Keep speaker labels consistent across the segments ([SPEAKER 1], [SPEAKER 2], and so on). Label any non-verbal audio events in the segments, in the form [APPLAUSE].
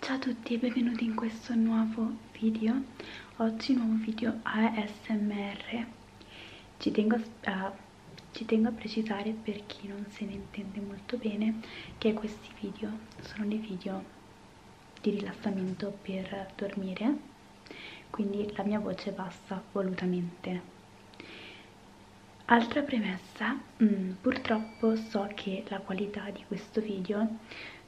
[SPEAKER 1] Ciao a tutti e benvenuti in questo nuovo video, oggi nuovo video ASMR, ci tengo a, ci tengo a precisare per chi non se ne intende molto bene che questi video sono dei video di rilassamento per dormire, quindi la mia voce passa volutamente. Altra premessa, mh, mm, purtroppo so che la qualità di questo video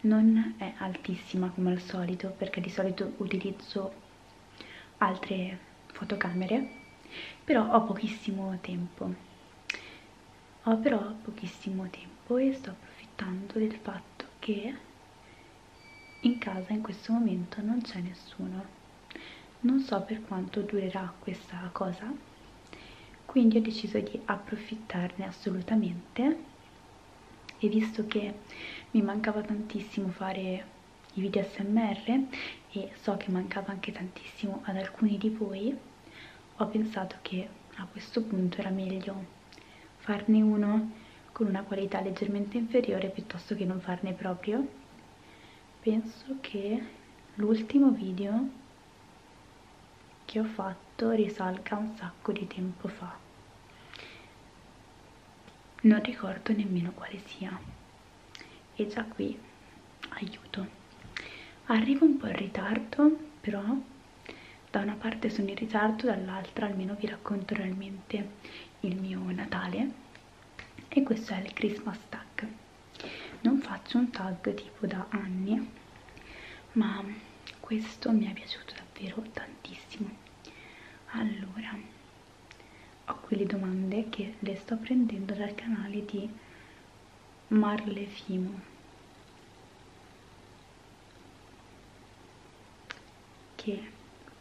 [SPEAKER 1] non è altissima come al solito perché di solito utilizzo altre fotocamere, però ho pochissimo tempo. Ho però pochissimo tempo e sto approfittando del fatto che in casa in questo momento non c'è nessuno non so per quanto durerà questa cosa quindi ho deciso di approfittarne assolutamente e visto che mi mancava tantissimo fare i video smr e so che mancava anche tantissimo ad alcuni di voi ho pensato che a questo punto era meglio farne uno con una qualità leggermente inferiore piuttosto che non farne proprio penso che l'ultimo video che ho fatto risalga un sacco di tempo fa non ricordo nemmeno quale sia e già qui aiuto arrivo un po' in ritardo però da una parte sono in ritardo dall'altra almeno vi racconto realmente il mio Natale e questo è il Christmas Stack non faccio un tag tipo da anni ma questo mi è piaciuto davvero tantissimo allora ho qui le domande che le sto prendendo dal canale di Marlefimo che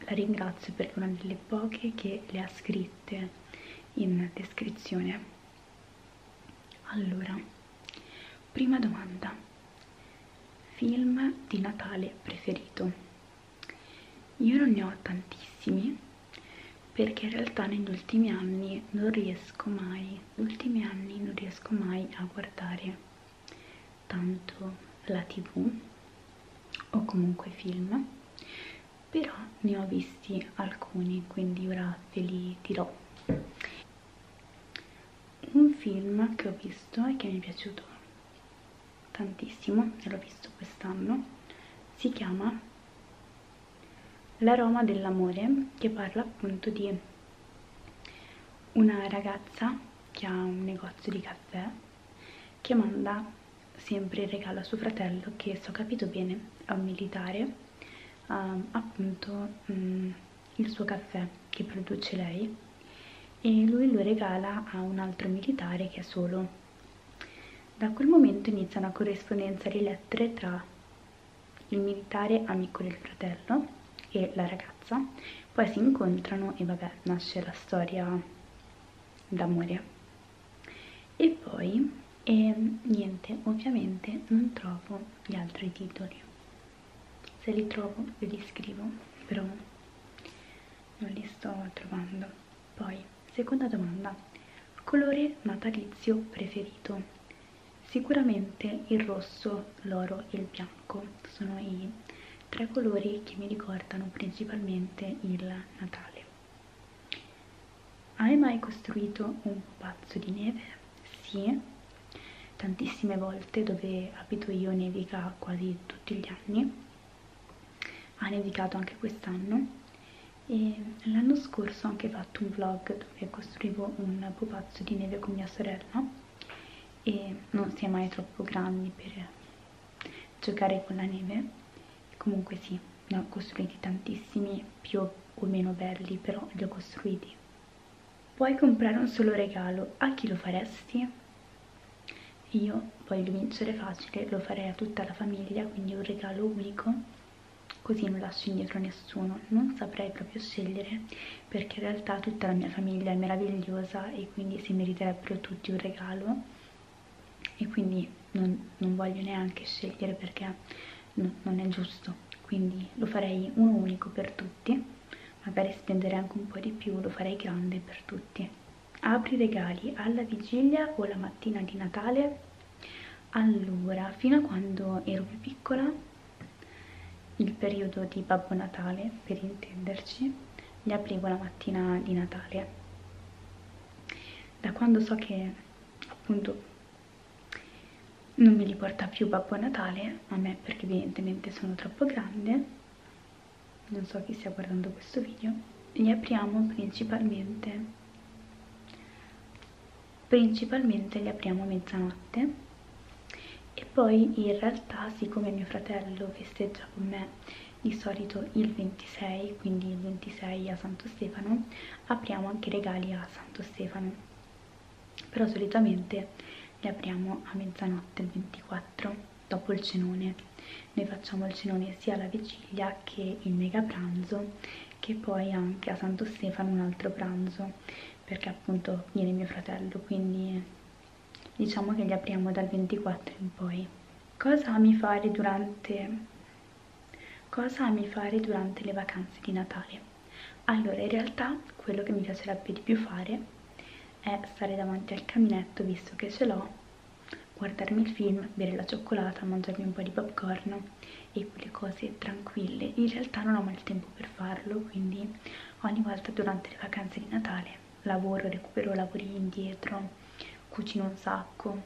[SPEAKER 1] la ringrazio perché è una delle poche che le ha scritte in descrizione. Allora, prima domanda, film di Natale preferito? Io non ne ho tantissimi perché in realtà negli ultimi anni non riesco mai, ultimi anni non riesco mai a guardare tanto la tv o comunque film però ne ho visti alcuni quindi ora ve li dirò un film che ho visto e che mi è piaciuto tantissimo e l'ho visto quest'anno si chiama L'aroma dell'amore che parla appunto di una ragazza che ha un negozio di caffè che manda sempre in regalo a suo fratello che se ho capito bene è un militare um, appunto um, il suo caffè che produce lei e lui lo regala a un altro militare che è solo da quel momento inizia una corrispondenza di lettere tra il militare amico del fratello e la ragazza poi si incontrano e vabbè nasce la storia da morire e poi e ehm, niente ovviamente non trovo gli altri titoli se li trovo ve li scrivo però non li sto trovando poi seconda domanda colore natalizio preferito sicuramente il rosso l'oro e il bianco sono i tre colori che mi ricordano principalmente il Natale. Hai mai costruito un pupazzo di neve? Sì, tantissime volte dove abito io nevica quasi tutti gli anni. Ha nevicato anche quest'anno e l'anno scorso ho anche fatto un vlog dove costruivo un pupazzo di neve con mia sorella e non si è mai troppo grandi per giocare con la neve comunque sì ne ho costruiti tantissimi più o meno belli però li ho costruiti puoi comprare un solo regalo a chi lo faresti? io voglio vincere facile lo farei a tutta la famiglia quindi un regalo unico così non lascio indietro nessuno non saprei proprio scegliere perché in realtà tutta la mia famiglia è meravigliosa e quindi si meriterebbero tutti un regalo e quindi non, non voglio neanche scegliere perché no, non è giusto quindi lo farei uno unico per tutti magari spendere anche un po' di più lo farei grande per tutti apri regali alla vigilia o la mattina di Natale allora fino a quando ero più piccola il periodo di Babbo Natale per intenderci li applico la mattina di Natale. Da quando so che appunto non me li porta più Babbo Natale, a me perché evidentemente sono troppo grande, non so chi stia guardando questo video, li apriamo principalmente, principalmente li apriamo a mezzanotte e poi in realtà siccome mio fratello festeggia con me di solito il 26 quindi il 26 a Santo Stefano apriamo anche regali a Santo Stefano però solitamente li apriamo a mezzanotte il 24 dopo il cenone noi facciamo il cenone sia alla vigilia che il mega pranzo che poi anche a Santo Stefano un altro pranzo perché appunto viene mio fratello quindi diciamo che li apriamo dal 24 in poi cosa ami fare durante cosa ami fare durante le vacanze di Natale allora in realtà quello che mi piacerebbe di più fare è stare davanti al caminetto visto che ce l'ho guardarmi il film, bere la cioccolata, mangiarmi un po' di popcorn e quelle cose tranquille in realtà non ho mai il tempo per farlo quindi ogni volta durante le vacanze di Natale lavoro, recupero lavori indietro, cucino un sacco,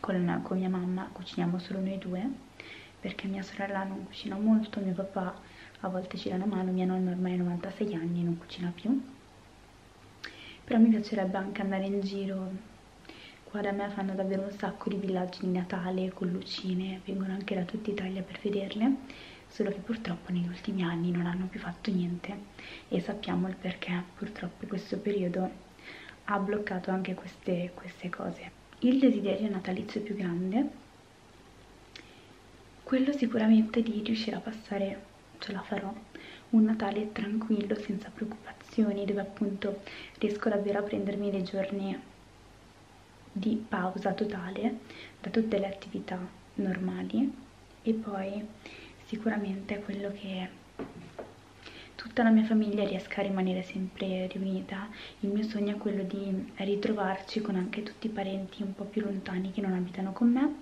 [SPEAKER 1] con, con mia mamma cuciniamo solo noi due, perché mia sorella non cucina molto, mio papà a volte ci dà una mano, mia nonna ormai ha 96 anni e non cucina più, però mi piacerebbe anche andare in giro, qua da me fanno davvero un sacco di villaggi di Natale con lucine, persone vengono anche da tutta Italia per vederle, solo che purtroppo negli ultimi anni non hanno più fatto niente e sappiamo il perché, purtroppo questo periodo ha bloccato anche queste, queste cose. Il desiderio natalizio più grande, quello sicuramente di riuscire a passare, ce la farò, un Natale tranquillo, senza preoccupazioni, dove appunto riesco davvero a prendermi dei giorni di pausa totale da tutte le attività normali e poi sicuramente quello che tutta la mia famiglia riesca a rimanere sempre riunita il mio sogno è quello di ritrovarci con anche tutti i parenti un po' più lontani che non abitano con me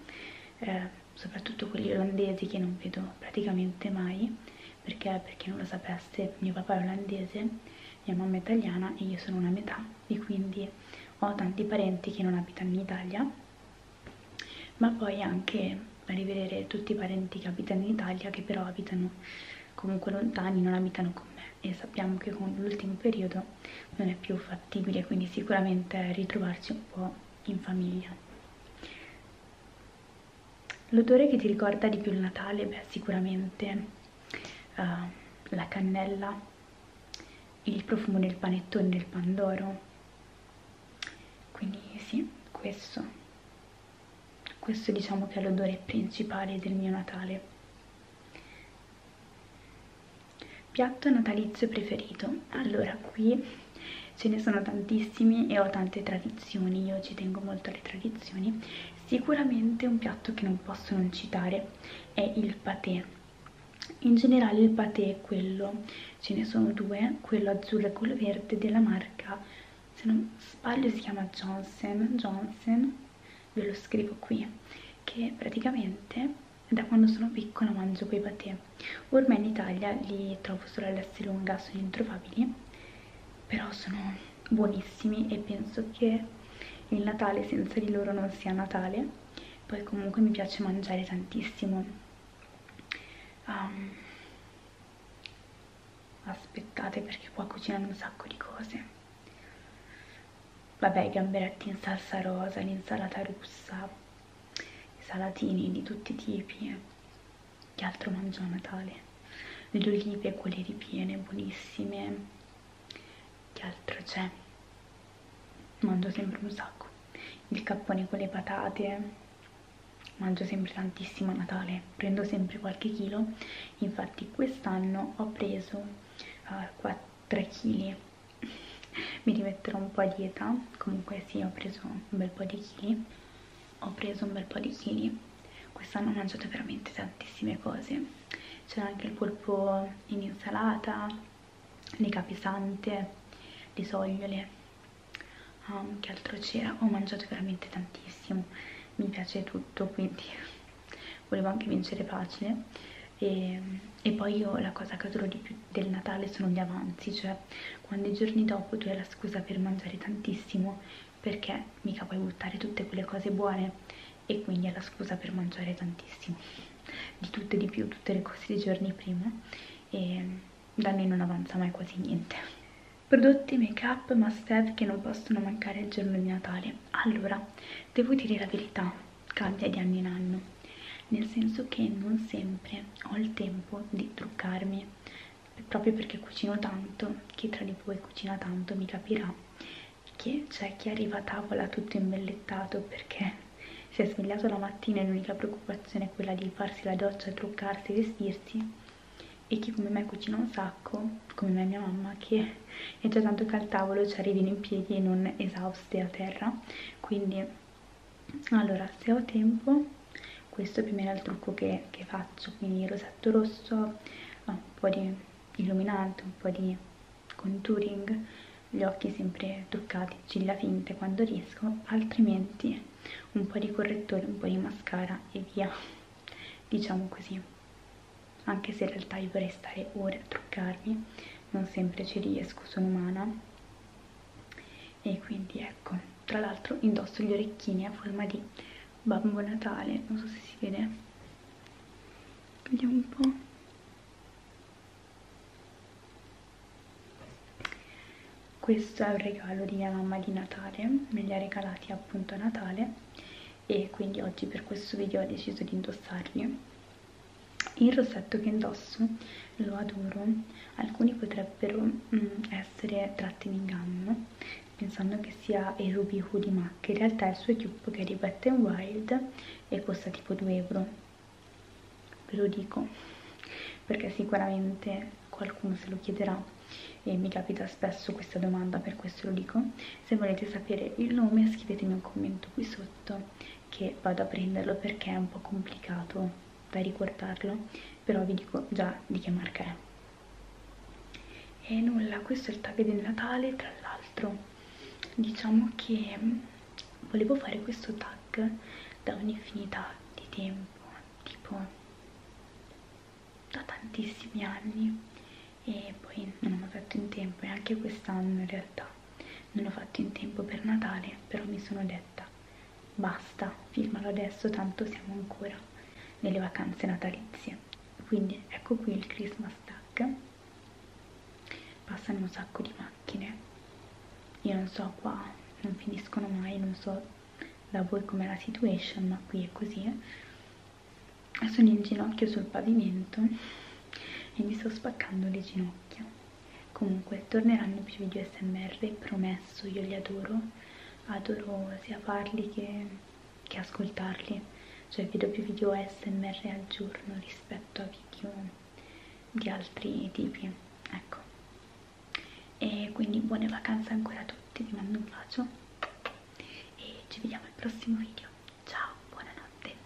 [SPEAKER 1] eh, soprattutto quelli olandesi che non vedo praticamente mai perché, per chi non lo sapesse, mio papà è olandese mia mamma è italiana e io sono una metà e quindi ho tanti parenti che non abitano in Italia ma poi anche rivedere tutti i parenti che abitano in Italia che però abitano comunque lontani, non abitano con me e sappiamo che con l'ultimo periodo non è più fattibile quindi sicuramente ritrovarci un po' in famiglia L'odore che ti ricorda di più il Natale, beh, sicuramente uh, la cannella, il profumo del panettone del Pandoro. Quindi sì, questo. Questo diciamo che è l'odore principale del mio Natale. Piatto natalizio preferito. Allora, qui ce ne sono tantissimi e ho tante tradizioni, io ci tengo molto alle tradizioni, Sicuramente un piatto che non posso non citare è il patè. In generale il patè è quello, ce ne sono due, quello azzurro e quello verde della marca, se non sbaglio si chiama Johnson, Johnson, ve lo scrivo qui, che praticamente da quando sono piccola mangio quei patè. Ormai in Italia li trovo solo all'Esselunga, sono introvabili, però sono buonissimi e penso che il Natale senza di loro non sia Natale poi comunque mi piace mangiare tantissimo um, aspettate perché qua cucinano un sacco di cose vabbè i gamberetti in salsa rosa l'insalata russa i salatini di tutti i tipi eh che altro mangio a Natale? Le olive, quelle ripiene, buonissime, che altro c'è? Mangio sempre un sacco, il cappone con le patate, mangio sempre tantissimo a Natale, prendo sempre qualche chilo, infatti quest'anno ho preso uh, 4 kg, mi rimetterò un po' a dieta, comunque sì ho preso un bel po' di chili ho preso un bel po' di chili quest'anno ho mangiato veramente tantissime cose c'era anche il polpo in insalata le capisante le sogliole um, ehm, che altro c'era ho mangiato veramente tantissimo mi piace tutto quindi [LAUGHS] volevo anche vincere facile e, ehm, e, poi io la cosa che adoro di più del Natale sono gli avanzi, cioè quando i giorni dopo tu hai la scusa per mangiare tantissimo perché mica puoi buttare tutte quelle cose buone e quindi hai la scusa per mangiare tantissimo di tutte di più, tutte le cose dei giorni prima e da noi non avanza mai quasi niente prodotti make up must have che non possono mancare il giorno di Natale allora, devo dire la verità cambia di anno in anno nel senso che non sempre ho il tempo di truccarmi proprio perché cucino tanto, chi tra di voi cucina tanto mi capirà che c'è chi arriva a tavola tutto imbellettato perché si è svegliato la mattina e l'unica preoccupazione è quella di farsi la doccia, truccarsi, vestirsi e chi come me cucina un sacco, come me e mia mamma, che è già tanto che al tavolo ci arrivino in piedi e non esauste a terra, quindi allora se ho tempo questo più o meno è il trucco che, che faccio quindi rosetto rosso un po' di illuminante un po' di contouring gli occhi sempre truccati ciglia finte quando riesco altrimenti un po' di correttore un po' di mascara e via [LAUGHS] diciamo così anche se in realtà io vorrei stare ore a truccarmi non sempre ci riesco sono umana e quindi ecco tra l'altro indosso gli orecchini a forma di babbo natale non so se si vede vediamo un po' questo è un regalo di mia mamma di natale me li ha regalati appunto a natale e quindi oggi per questo video ho deciso di indossarli il rossetto che indosso lo adoro alcuni potrebbero mm, essere tratti in inganno pensando che sia il ruby hoodie mac in realtà è il suo tube che è di Wet n Wild e costa tipo 2 euro ve lo dico perché sicuramente qualcuno se lo chiederà e mi capita spesso questa domanda per questo lo dico se volete sapere il nome scrivetemi un commento qui sotto che vado a prenderlo perché è un po' complicato da ricordarlo però vi dico già di che marca è e nulla, questo è il tag di Natale tra l'altro diciamo che mm, volevo fare questo tag da un'infinità di tempo tipo da tantissimi anni e poi non ho fatto in tempo e anche quest'anno in realtà non l'ho fatto in tempo per Natale, però mi sono detta, basta, filmalo adesso, tanto siamo ancora nelle vacanze natalizie. Quindi ecco qui il Christmas tag. Passano un sacco di macchine. Io non so qua, non finiscono mai, non so da voi com'è la situation, ma qui è così. Sono in ginocchio sul pavimento e mi sto spaccando le ginocchia. Comunque torneranno più video smr, promesso, io li adoro, adoro sia farli che, che ascoltarli, cioè vedo più video smr al giorno rispetto a video di altri tipi, ecco. E quindi buone vacanze ancora a tutti, vi mando un bacio e ci vediamo al prossimo video. Ciao, buonanotte.